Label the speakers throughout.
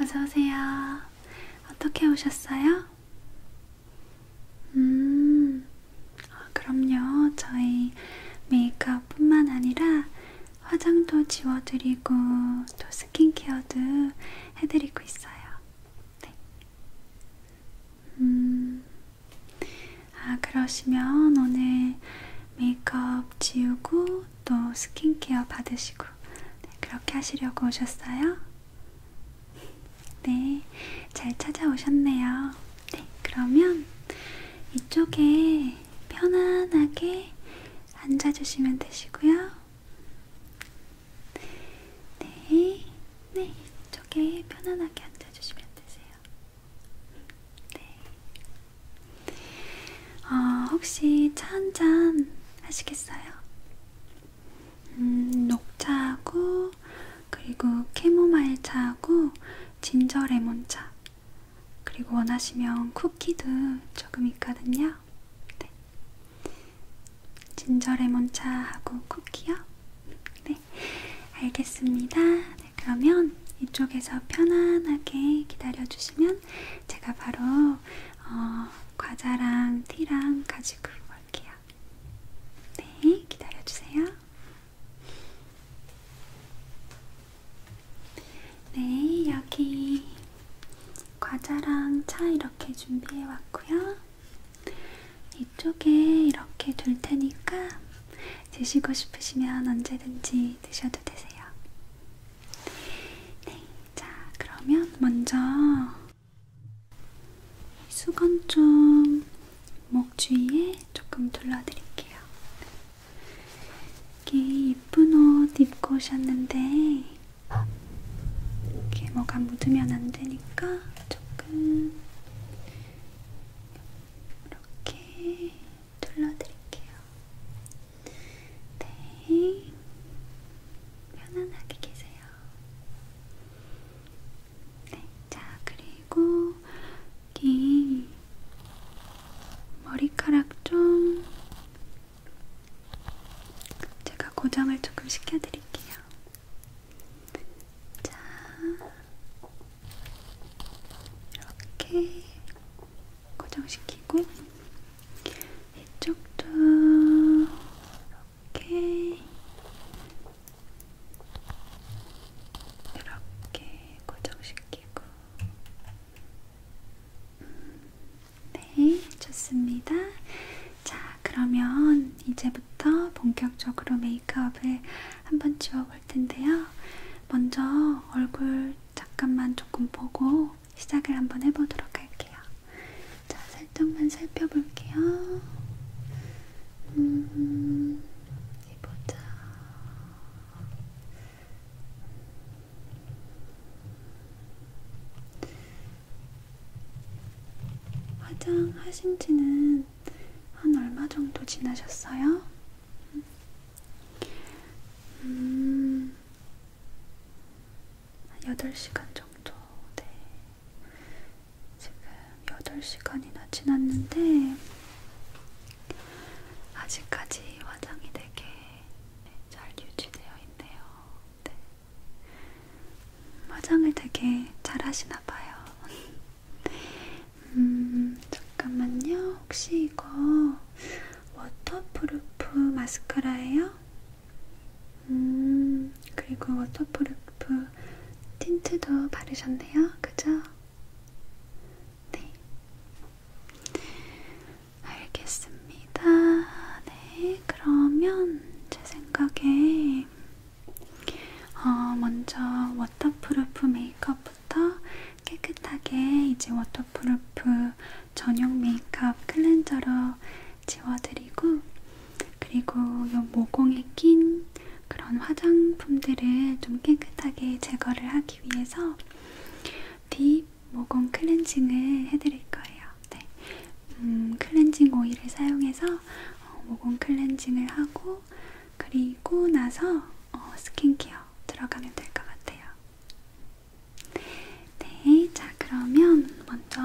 Speaker 1: 어서오세요. 어떻게 오셨어요? 음, 아, 그럼요. 저희 메이크업 뿐만 아니라 화장도 지워드리고 또 스킨케어도 해드리고 있어요. 네. 음, 아, 그러시면 오늘 메이크업 지우고 또 스킨케어 받으시고 네, 그렇게 하시려고 오셨어요? 네, 잘 찾아오셨네요. 네, 그러면 이쪽에 편안하게 앉아주시면 되시고요. 네, 네, 이쪽에 편안하게 앉아주시면 되세요. 네. 어, 혹시 차 한잔 하시겠어요? 음, 녹차하고 그리고 캐모마일 차하고 진저 레몬차 그리고 원하시면 쿠키도 조금 있거든요. 네. 진저 레몬차하고 쿠키요? 네. 알겠습니다. 네, 그러면 이쪽에서 편안하게 기다려 주시면 있으면 제가 바로 어, 과자랑 티랑 가지고 올게요. 네, 기다려주세요. 네, 여기 과자랑 차 이렇게 준비해 왔고요. 이쪽에 이렇게 둘 테니까 드시고 싶으시면 언제든지 드셔도 되세요. 네, 자 그러면 먼저 수건 좀 목 주위에 조금 둘러드릴게요. 이렇게 예쁜 옷 입고 오셨는데 이렇게 뭐가 묻으면 안 되니까 조금 이렇게 둘러드릴게요. 네. 편안하게 계세요. 네. 자, 그리고 긴 머리카락 좀 제가 고정을 조금 시켜드릴게요. 자, 이렇게 고정시키고 이쪽도 이렇게 이렇게 고정시키고 음, 네, 좋습니다. 자, 그러면 이제부터 본격적으로 메이크업을 한번 지워볼 텐데요. 먼저 얼굴 잠깐만 조금 보고 시작을 한번 해보도록 할게요. 자, 살짝만 살펴볼게요. 음, 보자. 화장하신 지는 한 얼마 정도 지나셨어요? 음. 음, 8시간 정도, 네. 지금 8시간이나 지났는데, 아직까지 화장이 되게 네, 잘 유지되어 있네요. 네. 화장을 되게 잘 하시나 봐요. 음, 잠깐만요. 혹시 이거 워터프루프 마스카라예요. 음, 그리고 워터프루프 틴트도 바르셨네요. 그죠? 네. 알겠습니다. 네, 그러면 제 생각에 어, 먼저 워터프루프 메이크업 때부터 깨끗하게 이제 워터프루프 전용 메이크업 클렌저로 지워드리고 그리고 요 모공에 낀 그런 화장품들을 좀 깨끗하게 제거를 하기 위해서 딥 모공 클렌징을 해드릴 거예요. 네. 음, 클렌징 오일을 사용해서 어, 모공 클렌징을 하고 그리고 나서 어, 스킨케어 들어가면 될 것 같아요. 네, 자 그러면 먼저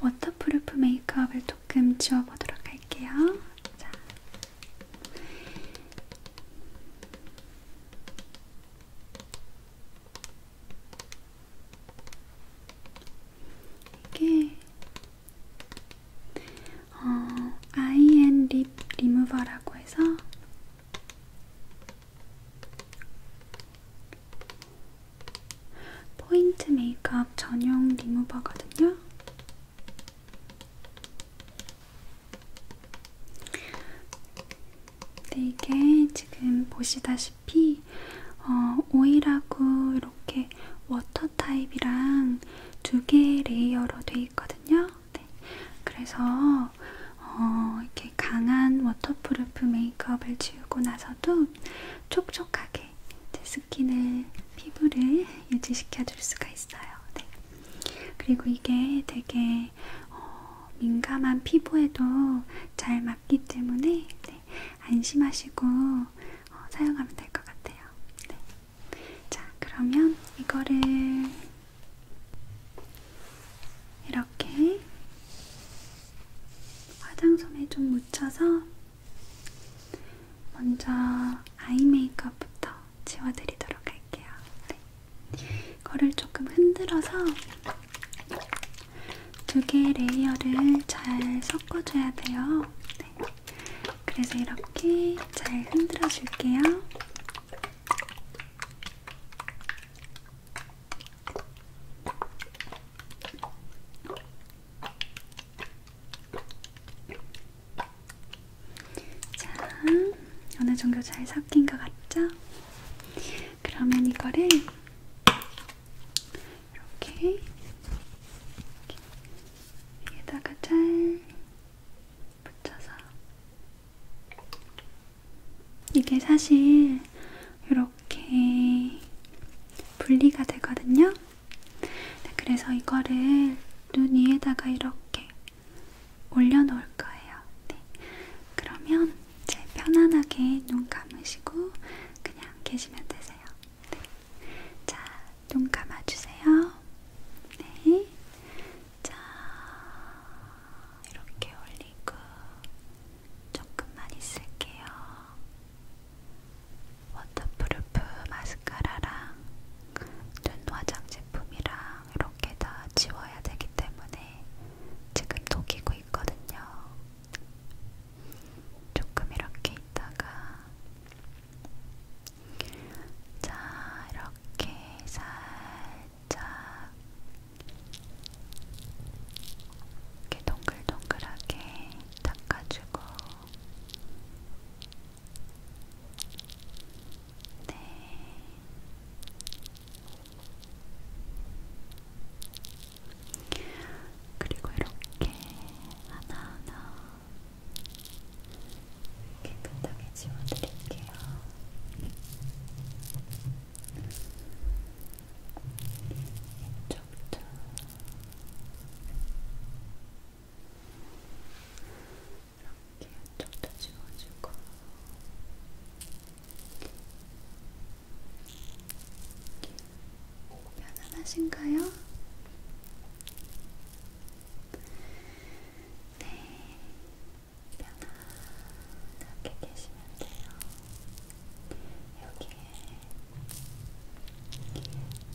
Speaker 1: 워터프루프 메이크업을 조금 지워보도록 할게요. 자. 이게 어, IN 립 리무버라고 해서 포인트 메이크업 전용 리무버거든요. 근데 네, 이게 지금 보시다시피 어, 오일하고 이렇게 워터 타입이랑 두개 레이어로 돼 있거든요. 네. 그래서 어, 이렇게 강한 워터프루프 메이크업을 지우고 나서도 촉촉하게 제 스킨을 피부를 유지시켜 줄 수가 있어요. 네. 그리고 이게 되게 어, 민감한 피부에도 잘 맞기 때문에 네. 안심하시고 어, 사용하면 될 것 같아요. 네. 자, 그러면 이거를 이렇게 화장솜에 좀 묻혀서 먼저 아이 메이크업부터 지워드리도록 할게요. 네. 이거를 조금 흔들어서 두 개의 레이어를 잘 섞어줘야 돼요. 네. 그래서 이렇게 잘 흔들어 줄게요. 자, 어느 정도 잘 섞인 것 같죠? 그러면 이거를 이렇게 여기다가 잘 붙여서 이게 사실 이렇게 분리가 되거든요. 네, 그래서 이거를 눈 위에다가 이렇게 올려놓을 거예요. 네. 그러면 이제 편안하게 눈 감으시고 그냥 계시면 되세요. 네. 자, 눈 감아주세요. 네. 자, 이렇게 올리고 조금만 있을게요. 워터프루프 마스카라랑 눈 화장 제품이랑 이렇게 다 지워야 되기 때문에 지금 녹이고 있거든요. 조금 이렇게 있다가 자, 이렇게 살짝 이렇게 동글동글하게 닦아주고 네. 그리고 이렇게 하나하나 깨끗하게 지워드릴게요. 이쪽도 이렇게 이쪽도 지워주고 편안하신가요? 네, 편안하게 계시면 돼요. 여기에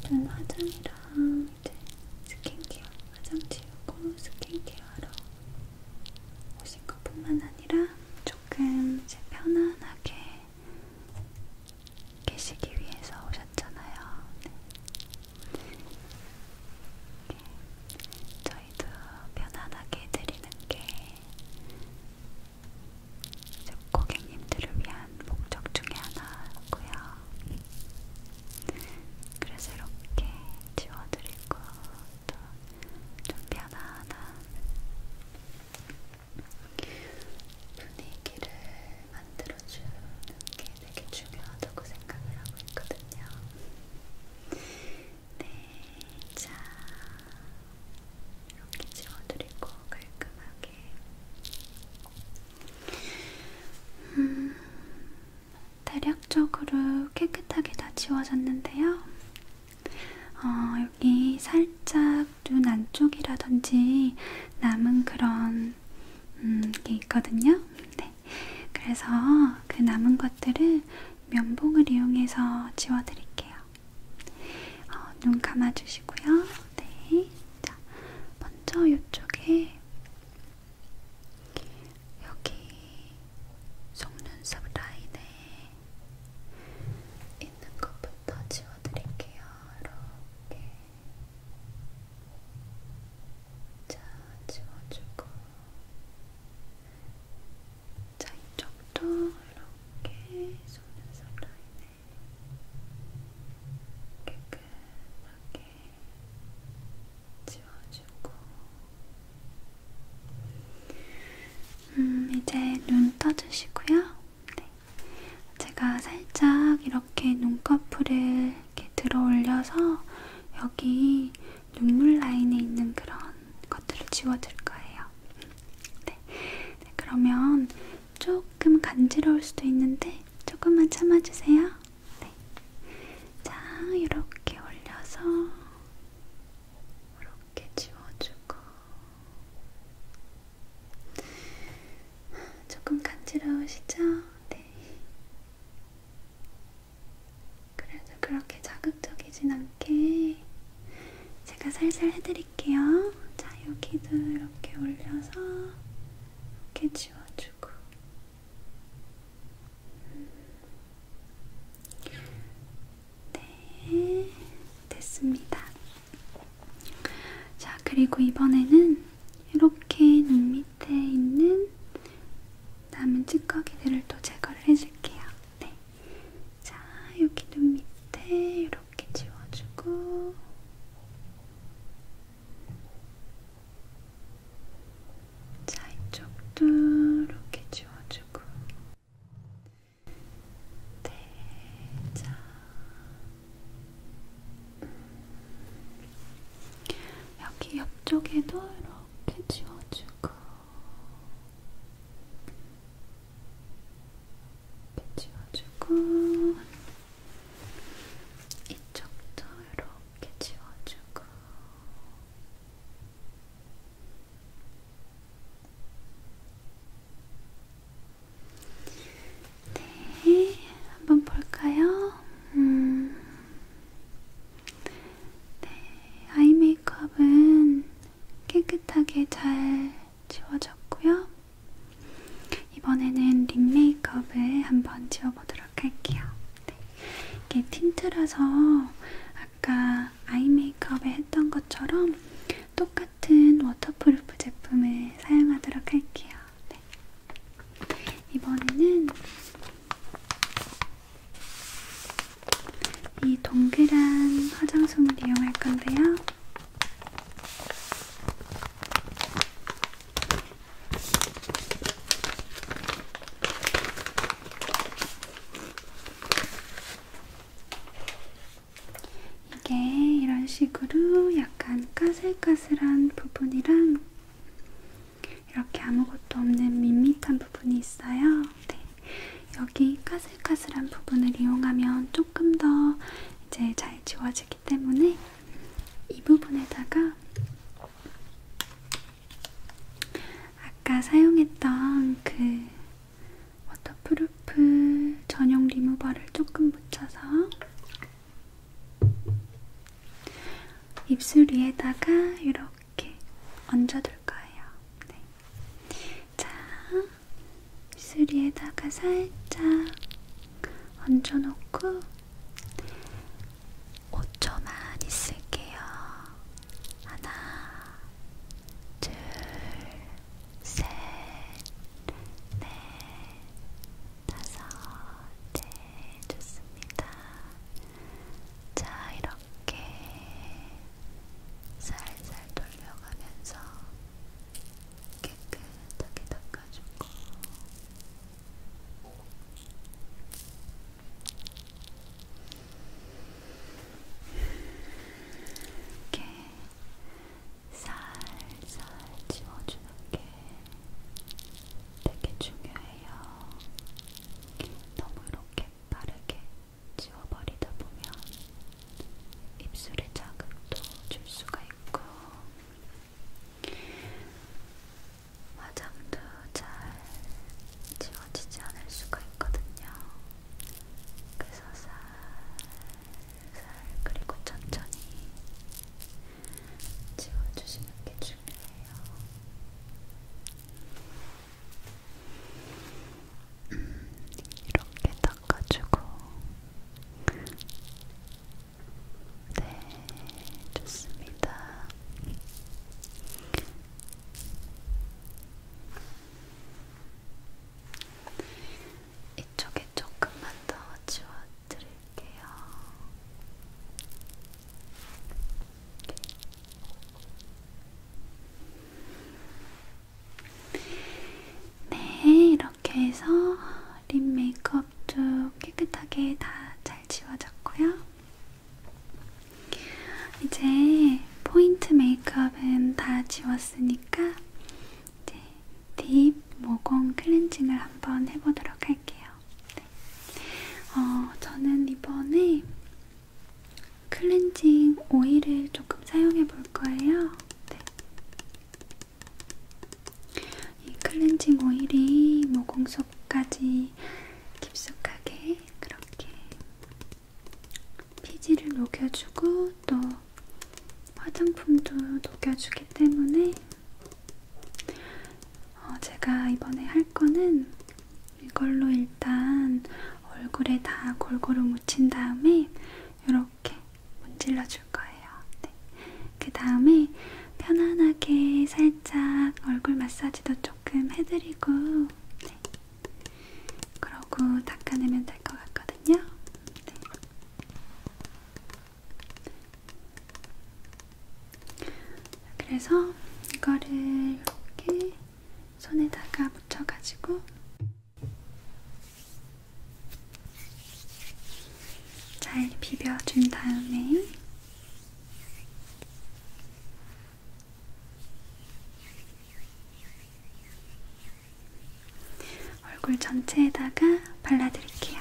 Speaker 1: 눈 화장이랑 이제 스킨케어, 화장 지우고 스킨케어로 오신 것 뿐만 아니라 조금 이제 편안하게 계시기 위해서 오셨잖아요. 네. 저희도 편안하게 드리는 게 고객님들을 위한 목적 중에 하나고요. 그래서 이렇게 지워드리고 또 좀 편안한 분위기를 만들어주는 게 되게 중요하다고 생각을 하고 있거든요. 네, 자 이렇게 지워드리고 깔끔하게. 음, 대략적으로 깨끗하게 다 지워졌는데요. 어, 여기 살짝 눈 안쪽이라든지 남은 그런 음, 게 있거든요. 네. 그래서 그 남은 것들을 면봉을 이용해서 지워드릴게요. 어, 눈 감아주시고요. 네. 자, 먼저 이쪽에 여기 속눈썹 라인에 있는 것부터 지워드릴게요. 이렇게. 자, 지워주고. 자, 이쪽도 이렇게 속눈썹 라인에 깨끗하게 지워주고 음, 이제 눈 떠주시고요. 네. 제가 살짝 이렇게 눈꺼풀을 이렇게 들어 올려서 여기 눈물 라인에 있는 그런 것들을 지워줄 거예요. 네. 네, 그러면 조금 간지러울 수도 있는데 조금만 참아주세요. 네. 자, 이렇게 올려서 이렇게 지워주고 조금 간지러우시죠? 네. 그래도 그렇게 자극적이진 않게 제가 살살 해드릴게요. 자, 여기도 이렇게 올려서 이렇게 지워주고 네, 됐습니다. 자, 그리고 이번에는 이렇게 눈 밑에 있는 남은 찌꺼기들을 또 제거를 해줄게요. 네. 자, 여기 눈 밑에 이렇게 지워주고. 자, 이쪽도 이렇게 지워주고. 네, 자. 여기 옆쪽에도 이렇게. 이렇게 지워주고 이렇게 지워주고 이쪽도 이렇게 지워주고 네, 한번 볼까요? 음, 네, 아이 메이크업은 깨끗하게 잘 지워졌고요. 이번에는 립 메이크업을 한번 지워보도록 할게요. 네, 이게 틴트라서 아까 아이 메이크업에 했던 것처럼 똑같은 워터프루프 제품을 사용하도록 할게요. 네. 이번에는 이 동그란 화장솜을 이용할 건데요. 이게 이런 식으로 약간 까슬까슬한 부분이랑 이렇게 아무것도 없는 밋밋한 부분이 있어요. 네. 여기 까슬까슬한 부분을 이용하면 조금 더 이제 잘 지워지기 때문에 이 부분에다가 아까 사용했던 그 워터프루프 전용 리무버를 조금 묻혀서 입술 위에다가 이렇게 이렇게 얹어둘 거예요. 네. 자, 입술이에다가 살짝 얹어놓고 5초만 있을게요. 하나, 둘, 셋, 넷, 다섯, 네, 좋습니다. 자, 이렇게 살살 돌려가면서 깨끗하게 닦아주고 이렇게 살살 지워주는 게 되게 중요해요. 너무 이렇게 빠르게 지워버리다 보면 입술에 자극도 줄 수가 있고 화장도 잘 지워지지 않을 수가 있거든요. 그래서 살살 그리고 천천히 지워주시는 게 중요해요. 이렇게 닦아주고 네 좋습니다. 이쪽에 조금만 더 지워드릴게요. 이렇게. 네, 이렇게 해서 립 메이크업도 깨끗하게 다 잘 지워졌고요. 이제 포인트 메이크업은 다 지웠으니까 이제 딥 모공 클렌징을 한번 해보도록 할게요. 네. 어, 저는 이번에 클렌징 오일을 조금 사용해 볼 거예요. 네. 이 클렌징 오일이 모공 속까지 깊숙하게 그렇게 피지를 녹여주고 또 화장품도 녹여주기 때문에 어, 제가 이번에 할 거는 이걸로 일단 얼굴에 다 골고루 묻힌 다음에 이렇게 문질러 줄 거예요. 네. 그 다음에 편안하게 살짝 얼굴 마사지도 조금 해드리고, 네. 그러고 닦아내면 될 것 같거든요. 네. 그래서 이거를 이렇게 손에다가 묻혀가지고 잘 비벼준 다음에 얼굴 전체에다가 발라드릴게요.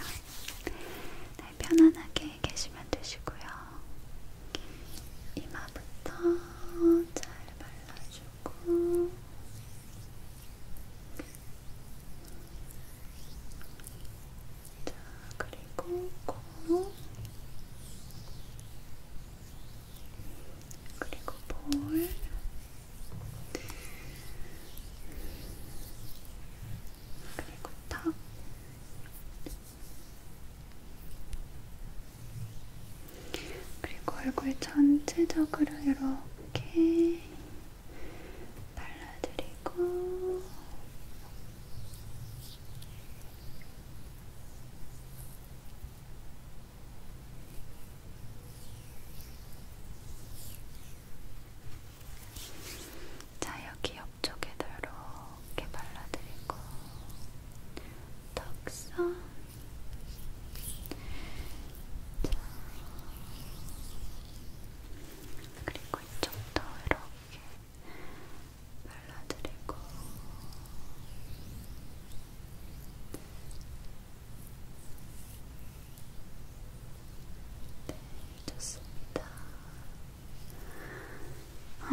Speaker 1: 네, 편안하게 계시면 되시고요. 이마부터 잘 발라주고 자, 그리고 코 그리고 볼 그리고 턱 그리고 얼굴 전체적으로 이렇게 발라드리고 자, 여기 옆쪽에도 이렇게 발라드리고 턱선 자. 그리고 이쪽도 이렇게 발라드리고 네, 좋습니다. 어,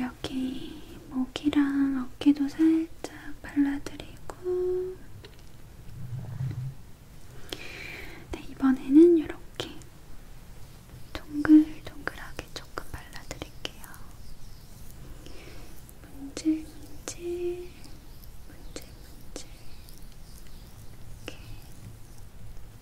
Speaker 1: 여기 목이랑 어깨도 살짝 발라드리고 네, 이번에는 이렇게 동글동글하게 조금 발라드릴게요. 문질, 문질, 문질, 문질. 이렇게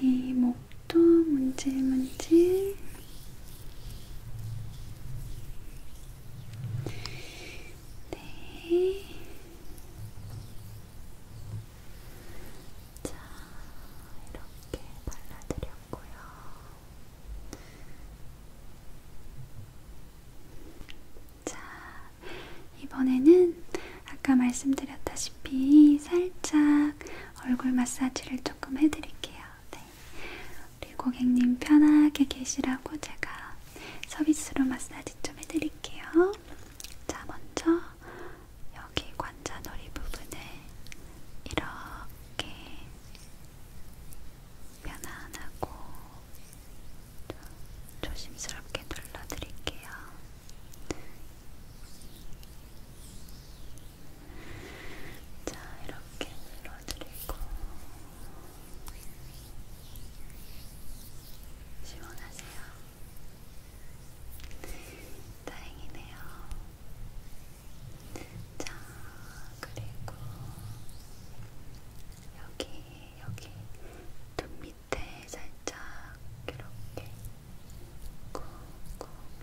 Speaker 1: 이렇게 목도 문질문질 네. 자, 이렇게 발라드렸고요. 자, 이번에는 아까 말씀드렸다시피 살짝 얼굴 마사지를 조금 해드릴게요. 네. 우리 고객님 편하게 계시라고 제가 서비스로 마사지 좀 해드릴게요. 자, 먼저 여기 관자놀이 부분을 이렇게 편안하고 조심스럽게 눌러드릴게요. 자, 이렇게 눌러드리고 시원하세요. 다행이네요. 자, 그리고 여기, 여기 눈 밑에 살짝 이렇게 꾹꾹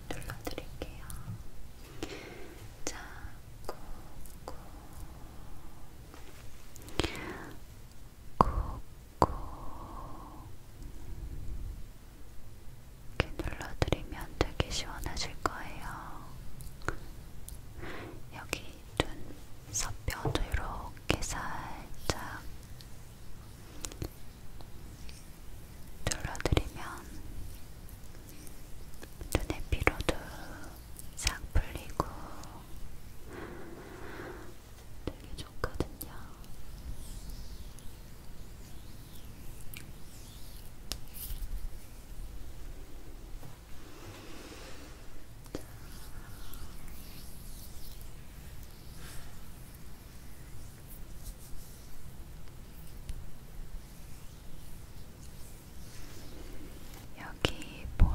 Speaker 1: 눌러드릴게요. 자, 꾹꾹 꾹꾹 이렇게 눌러드리면 되게 시원하실 거예요. 여기 눈, 서편도 이렇게 살짝 둘러드리면 눈의 피로도 싹 풀리고 되게 좋거든요. 자, 여기 볼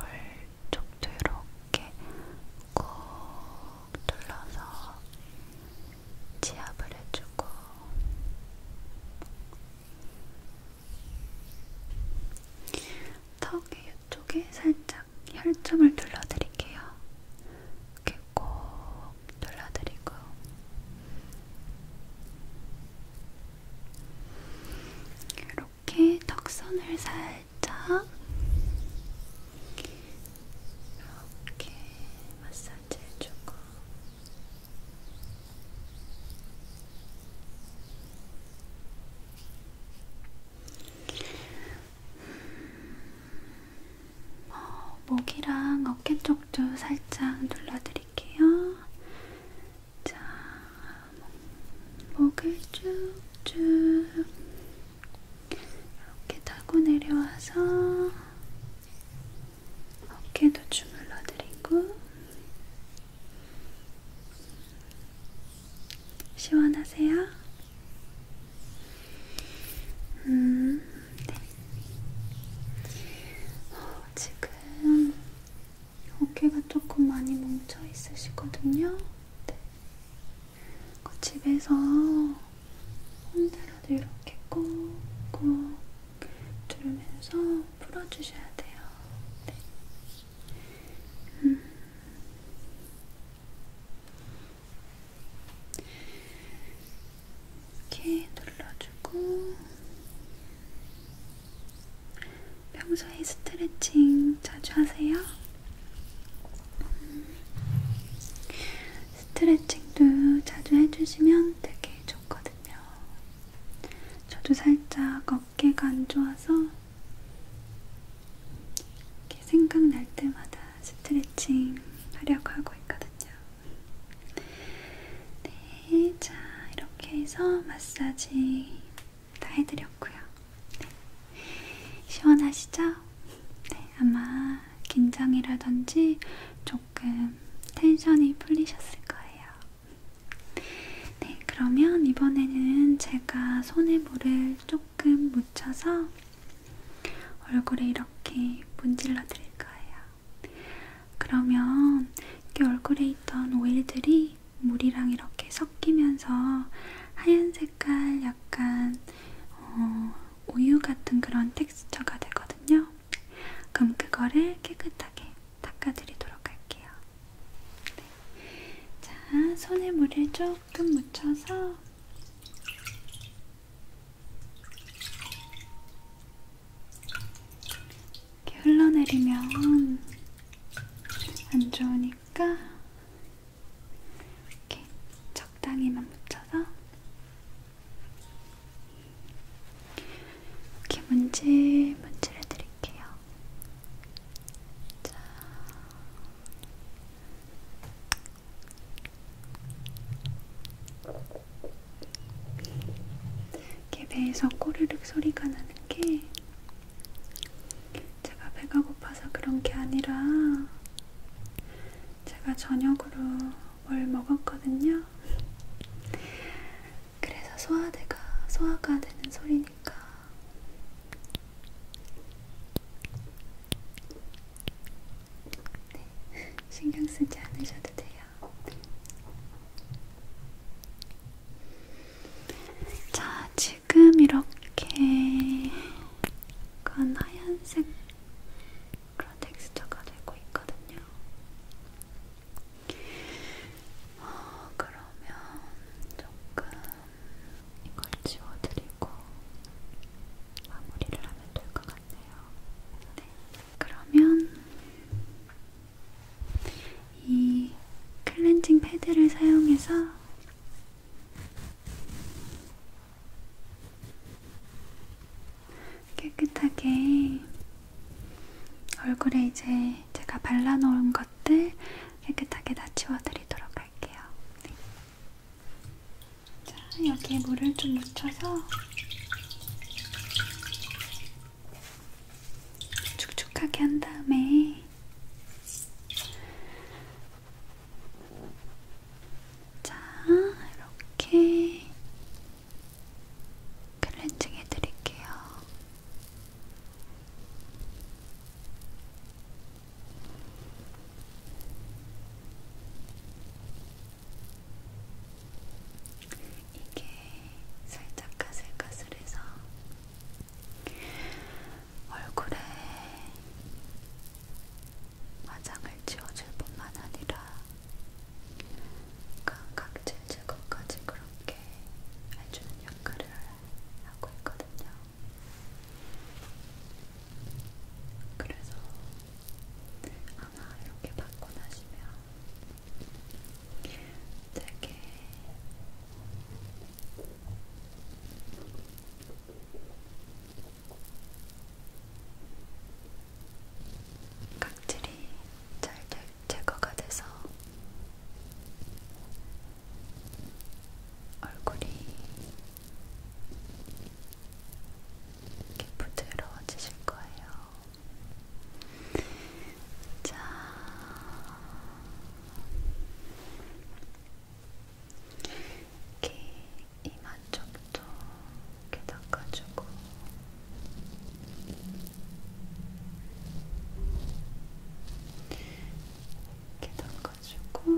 Speaker 1: 쪽도 이렇게 꾹 눌러서 지압을 해주고 턱의 이쪽에 살짝 혈점을 눌러드릴게요. 이렇게 꼭 발라드리고 이렇게 턱선을 살짝 이렇게 마사지 해주고 어, 목이랑 어깨 쪽도 살짝 눌러드릴게요. 자, 목을 쭉쭉 이렇게 타고 내려와서 어깨도 주물러드리고 시원하세요? 음, 네. 어, 지금 어깨가 조금 많이 뭉쳐 있으시거든요. 네. 그 집에서 혼자라도 이렇게 꾹꾹 두르면서 풀어주셔야 돼요. 네. 음. 이렇게 눌러주고 평소에 스트레칭 자주 하세요? 스트레칭도 자주 해주시면 되게 좋거든요. 저도 살짝 어깨가 안 좋아서 이렇게 생각날 때마다 스트레칭 하려고 하고 있거든요. 네, 자 이렇게 해서 마사지 다 해드렸고요. 네. 시원하시죠? 네, 아마 긴장이라든지 조금 텐션이 풀리셨을 거예요. 네, 그러면 이번에는 제가 손에 물을 조금 묻혀서 얼굴에 이렇게 문질러 드릴 거예요. 그러면 이렇게 얼굴에 있던 오일들이 물이랑 이렇게 섞이면서 하얀 색깔 약간 어, 우유 같은 그런 텍스처가 되거든요. 그럼 그거를 깨끗하게 닦아드리도록 할게요. 네. 자, 손에 물을 조금 묻혀서 이렇게 흘러내리면 안 좋으니까 이렇게 적당히만 묻혀서 이렇게 문질 문질해 드릴게요. 자, 이렇게 배에서 꼬르륵 소리가 나는 게 제가 배가 고파서 그런 게 아니라 제가 저녁으로 뭘 먹었거든요. 그래서 소화대가 소화가 되는 소리니까 네, 신경 쓰지 않으셔도 돼요. 자, 지금 이렇게 약간 하얀색 그런 텍스처가 되고 있거든요. 어, 그러면 조금 이걸 지워드리고 마무리를 하면 될것 같네요. 네. 그러면 이 클렌징 패드를 사용해서 깨끗하게 얼굴에 이제 제가 발라놓은 것들 깨끗하게 다 치워드리도록 할게요. 네. 자, 여기에 물을 좀 묻혀서 축축하게 한 다음에 자, 이렇게 클렌징 해드릴게요. 이게 살짝 가슬가슬해서 얼굴에 화장을 지워줄 뿐만 아니라 감각질 제거까지 그렇게 해주는 역할을 하고 있거든요. 그래서 아마 이렇게 받고 나시면 되게 각질이 잘 제거가 돼서 얼굴이 이렇게 부드러워지실 거예요. 자, 이렇게 이만 쪽도 이렇게 닦아주고. 이렇게 닦아주고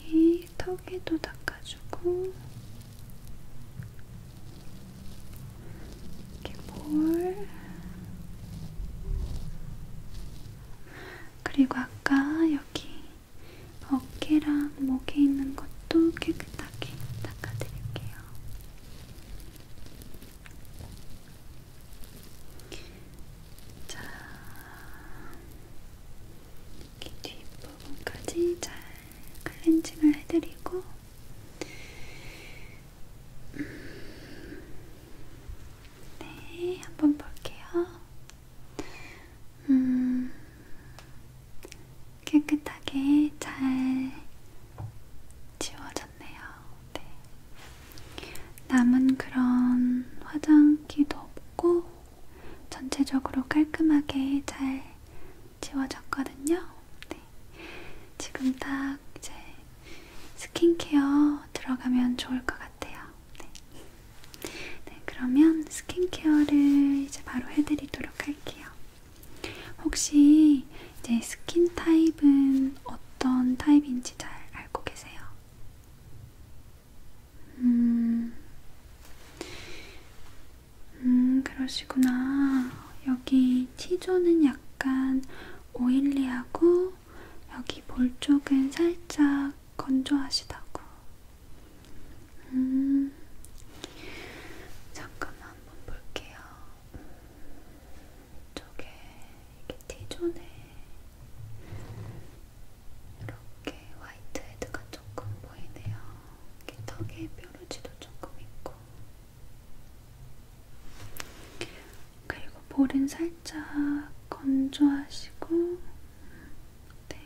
Speaker 1: 여기 턱에도 닦아주고 이렇게 볼 그리고 아까 여기 어깨랑 목에 있는 것도 깨끗하게 닦아드릴게요. 자, 이렇게 뒷부분까지 잘 클렌징을 해드리고, 음, 네, 한번 볼게요. 음, 깨끗하게 잘 지워졌네요. 네. 남은 그런 화장기도 없고 전체적으로 깔끔하게 잘 지워졌거든요. 네. 지금 딱 이제 스킨케어 들어가면 좋을 것 같아요. 네. 네, 그러면 스킨케어를 이제 바로 해드리도록 할게요. 혹시 이제 스킨 타입은 어떤 타입인지 잘 알고 계세요? 음, 음 그러시구나. 여기 T존은 약간 오일리하고 여기 볼 쪽은 살짝 건조하시다고. 음, 잠깐만 한번 볼게요. 음, 이쪽에 이렇게 T존에 이렇게 화이트 헤드가 조금 보이네요. 이렇게 턱에 뾰루지도 조금 있고. 그리고 볼은 살짝 건조하시고, 네.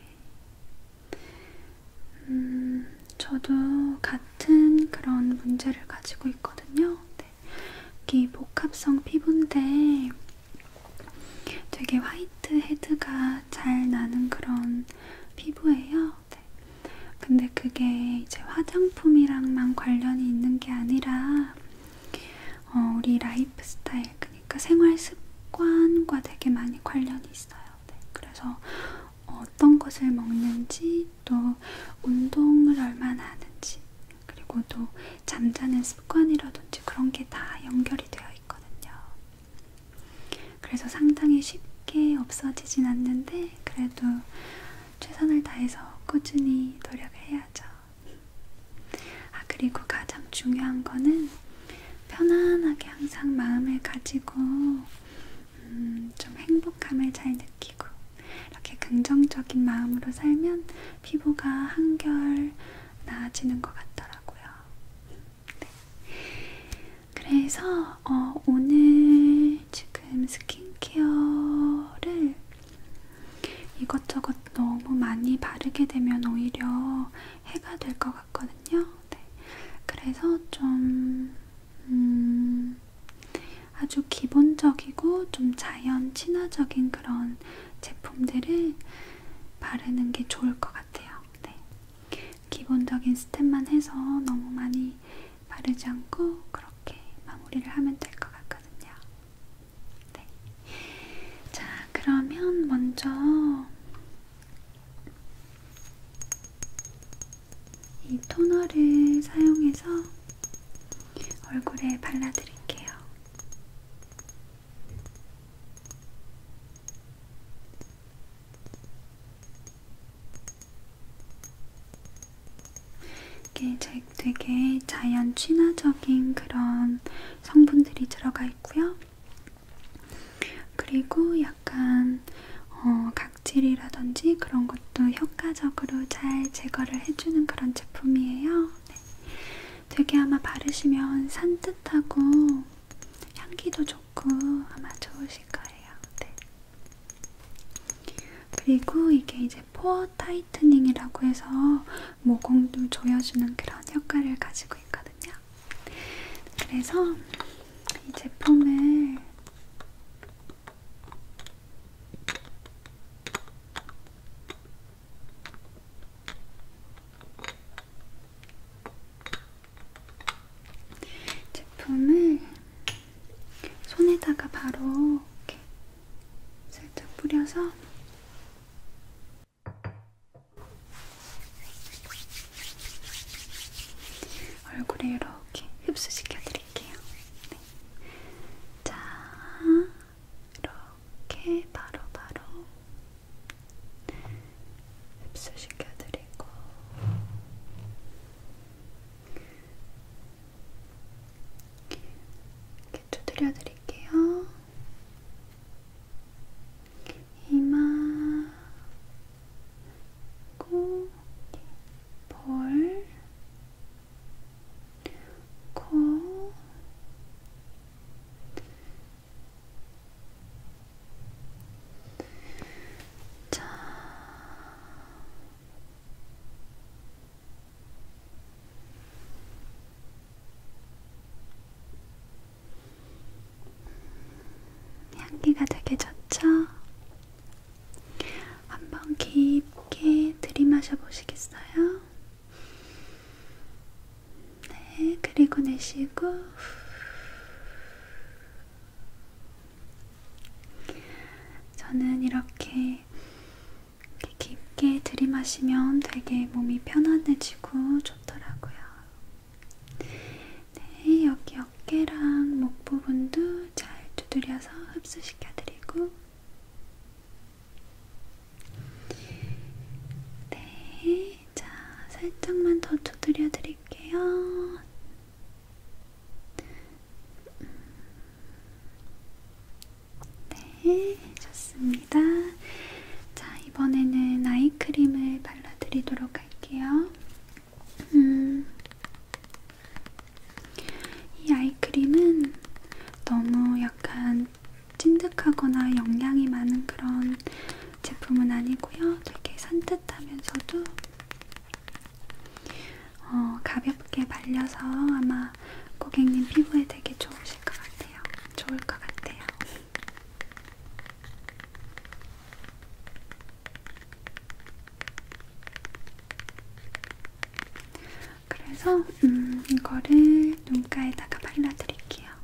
Speaker 1: 음, 저도 같은 그런 문제를 가지고 있거든요. 네. 이게 복합성 피부인데, 되게 화이트 헤드가 잘 나는 그런 피부예요. 네. 근데 그게 이제 화장품이랑만 관련이 있는 게 아니라 어, 우리 라이프 스타일, 그러니까 생활 습관과 되게 많이 관련이 있어요. 네. 그래서 어떤 것을 먹는지 또 운동을 얼마나 하는지 그리고 또 잠자는 습관이라든지 그런 게 다 연결이 되어 있거든요. 그래서 상당히 쉽게 없어지진 않는데 그래도 최선을 다해서 꾸준히 노력을 해야죠. 아, 그리고 가장 중요한 거는 편안하게 항상 마음을 가지고 음, 좀 행복함을 잘 느끼고 이렇게 긍정적인 마음으로 살면 피부가 한결 나아지는 것 같더라고요. 네. 그래서 어, 오늘 지금 스킨케어를 이것저것 너무 많이 바르게 되면 오히려 해가 될 것 같거든요. 네. 그래서 좀 음, 아주 기본적이고 좀 자연 친화적인 그런 제품들을 바르는 게 좋을 것 같아요. 네. 기본적인 스텝만 해서 너무 많이 바르지 않고 그렇게 마무리를 하면 될 것 같거든요. 네. 자, 그러면 먼저 이 토너를 사용해서 얼굴에 발라드릴게요. 이게 되게 자연 친화적인 그런 성분들이 들어가 있고요. 그리고 약간 어, 각질이라든지 그런 것도 효과적으로 잘 제거를 해주는 그런 제품이에요. 네. 되게 아마 바르시면 산뜻하고 향기도 좋고 아마 좋으실 거예요. 네. 그리고 이게 이제 포어 타이트닝이라고 해서 모공도 조여주는 그런 효과를 가지고 있거든요. 그래서 이 제품을 제품을 손에다가 바로 이렇게 살짝 뿌려서 얼굴에 이렇게 흡수시켜 드릴게요. 네. 자, 이렇게 바로바로 바로 흡수시켜드리고 이렇게 두드려드릴게요. 이마, 코, 볼, 코, 자, 향기가 되게 좋죠? 한번 깊게 들이마셔 보시겠어요? 네, 그리고 내쉬고 저는 이렇게 깊게 들이마시면 되게 몸이 편안해지고 좋더라고요. 네, 여기 어깨랑 목 부분도 잘 두드려서 흡수시켜드리고 네, 자 살짝만 더 두드려 드릴게요. 음, 네, 좋습니다. 자 이번에는 아이크림을 발라드리도록 할게요. 음, 이 아이크림은 너무 약간 좀 찐득하거나 영양이 많은 그런 제품은 아니고요. 되게 산뜻하면서도 어, 가볍게 말려서 아마 고객님 피부에 되게 좋으실 것 같아요. 좋을 것 같아요. 그래서 음, 이거를 눈가에다가 발라드릴게요.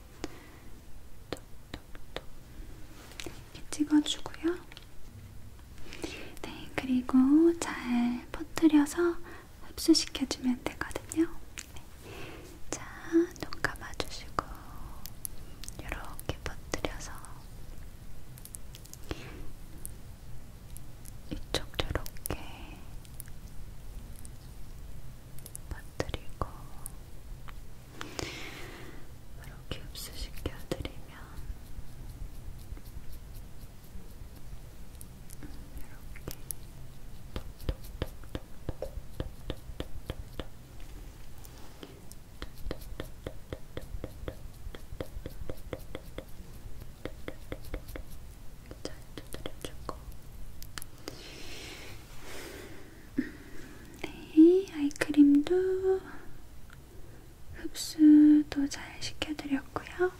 Speaker 1: 톡톡톡 이렇게 찍어주고요. 네, 그리고 잘 퍼뜨려서 흡수시켜주면 되거든요. 네. 자, 눈 감아주시고 이렇게 퍼뜨려서 이쪽 이렇게 퍼뜨리고 이렇게 흡수시켜드리면 이렇게 잘 두드려주고 네, 아이크림도 흡수도 잘 시켜드렸고요.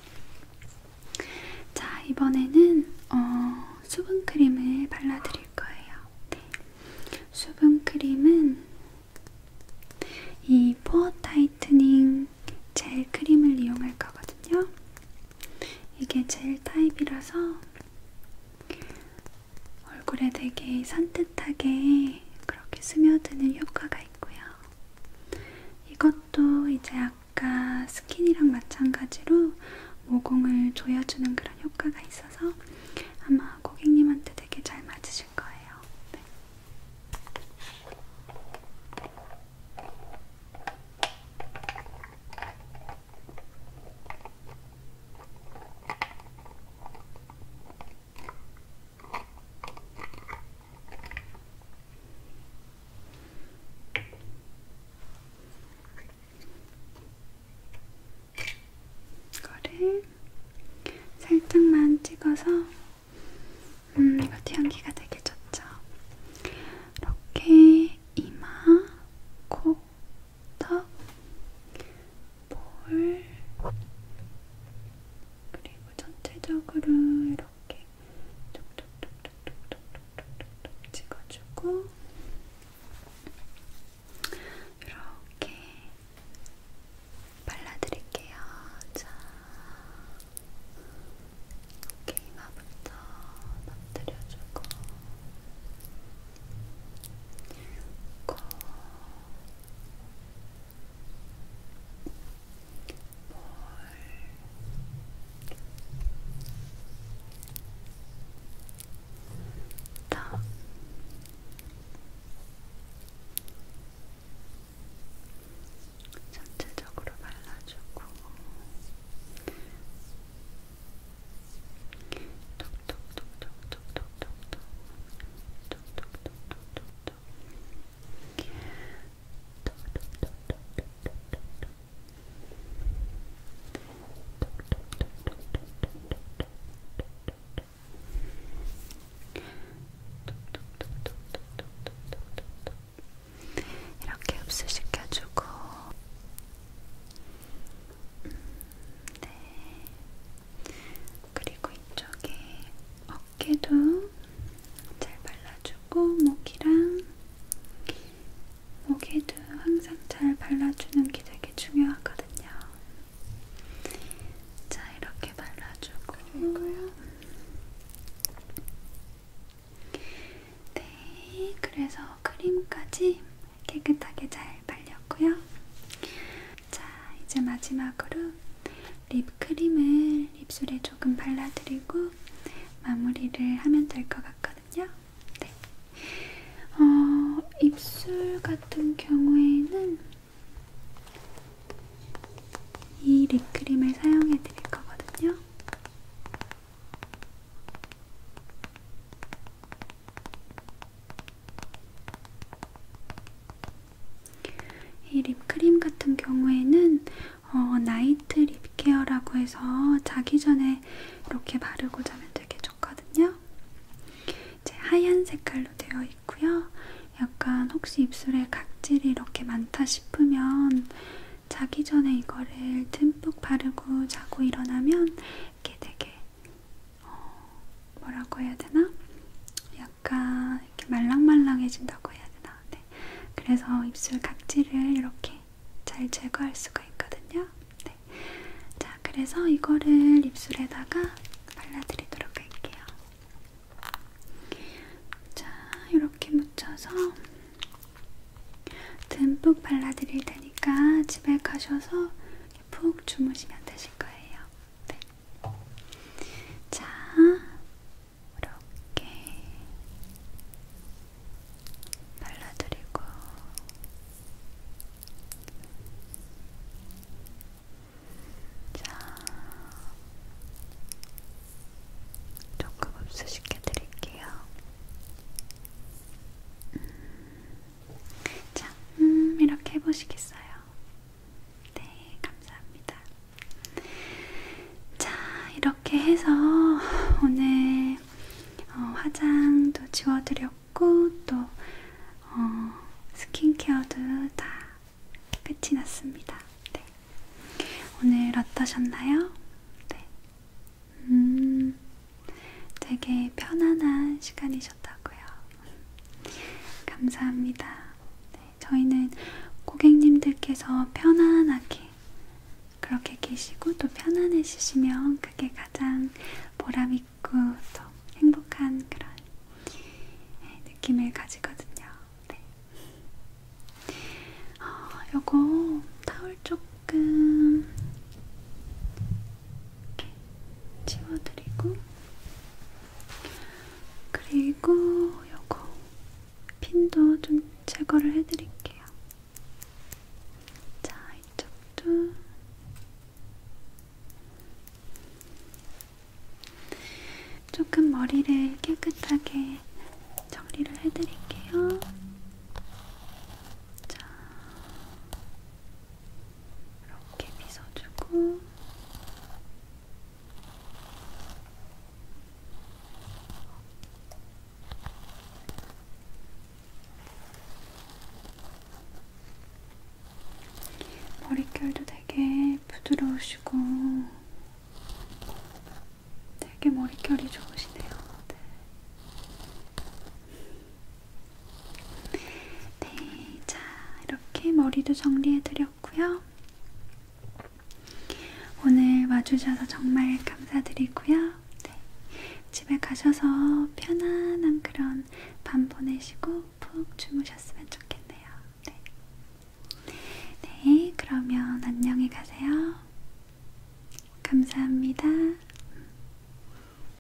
Speaker 1: 자, 이번에는 어, 수분크림을 발라드릴 거예요. 네. 수분크림은 이 포어 타이트닝 젤 크림을 이용할 거거든요. 이게 젤 타입이라서 얼굴에 되게 산뜻하게 그렇게 스며드는 효과가 있고요. 이것도 이제 아까 스킨이랑 마찬가지로 모공을 조여주는 그런 효과가 있어서 아마 고객님한테 되게 잘 맞으실 거예요. 네. 이거를 살짝만 찍어서 음 이것도 향기가 되게 좋죠. 이렇게 이마, 코, 턱, 볼, 그리고 전체적으로 이렇게 톡톡톡톡톡톡톡톡 찍어주고 이렇게 발라드릴게요. 자, 이렇게 이마부터 넘뜨려주고 코 볼. 다 전체적으로 발라주고 이렇게 흡수시켜주고 네. 그리고 이쪽에 어깨도 잘 발라주고 목이랑 목에도 항상 잘 발라주는 게 되게 중요하거든요. 자, 이렇게 발라주고 그리고요. 네, 그래서 크림까지 깨끗하게 잘 발렸고요. 자, 이제 마지막으로 립크림을 입술에 조금 발라드리고 마무리를 하면 될 것 같거든요. 네. 어, 입술 같은 경우에는 이 립크림을 사용해 드릴 거거든요. 이 립크림 같은 경우에는 어, 나이트 립케어라고 해서 자기 전에 이렇게 바르고 자면 되게 좋거든요. 이제 하얀 색깔로 되어 있고요. 약간 혹시 입술에 각질이 이렇게 많다 싶으면 자기 전에 이거를 듬뿍 바르고 자고 일어나면 이렇게 되게 어, 뭐라고 해야 되나? 약간 이렇게 말랑말랑해진다고 해야 되나? 네. 그래서 입술 각질을 이렇게 잘 제거할 수가 있거든요. 네. 자, 그래서 이거를 입술에다가 발라드리도록 할게요. 자, 이렇게 묻혀서 듬뿍 발라드릴 테니까 집에 가셔서 편하게 푹 주무시면 되실 거예요. 네. 자, 이렇게 발라드리고 자, 조금 흡수시켜 드릴게요. 음. 자, 음, 이렇게 해보시겠어요? 네, 감사합니다. 자, 이렇게 해서 오늘 어, 화장도 지워드렸고, 또 어, 스킨케어도 다 끝이 났습니다. 네. 오늘 어떠셨나요? 네. 음, 되게 편안한 시간이셨다고요. 감사합니다. 네, 저희는 고객님들께서 편안하게 그렇게 계시고 또 편안해지시면 그게 가장 보람있고 또 행복한 그런 네, 느낌을 가지거든요. 네. 어, 요거 타올 조금 이렇게 지워드리고 그리고 요거 핀도 좀 제거를 해드릴게요. 자, 이쪽도 조금 머리를 깨끗하게 정리를 해드릴게요. 자, 이렇게 빗어주고 머릿결도 되게 부드러우시고 되게 머릿결이 좋으시네요. 네. 네, 자 이렇게 머리도 정리해드렸고요. 오늘 와주셔서 정말 감사드리고요. 네, 집에 가셔서 편안한 그런 밤 보내시고 푹 주무셨으면 좋겠네요. 네, 네 그러면 안녕히 가세요. 감사합니다.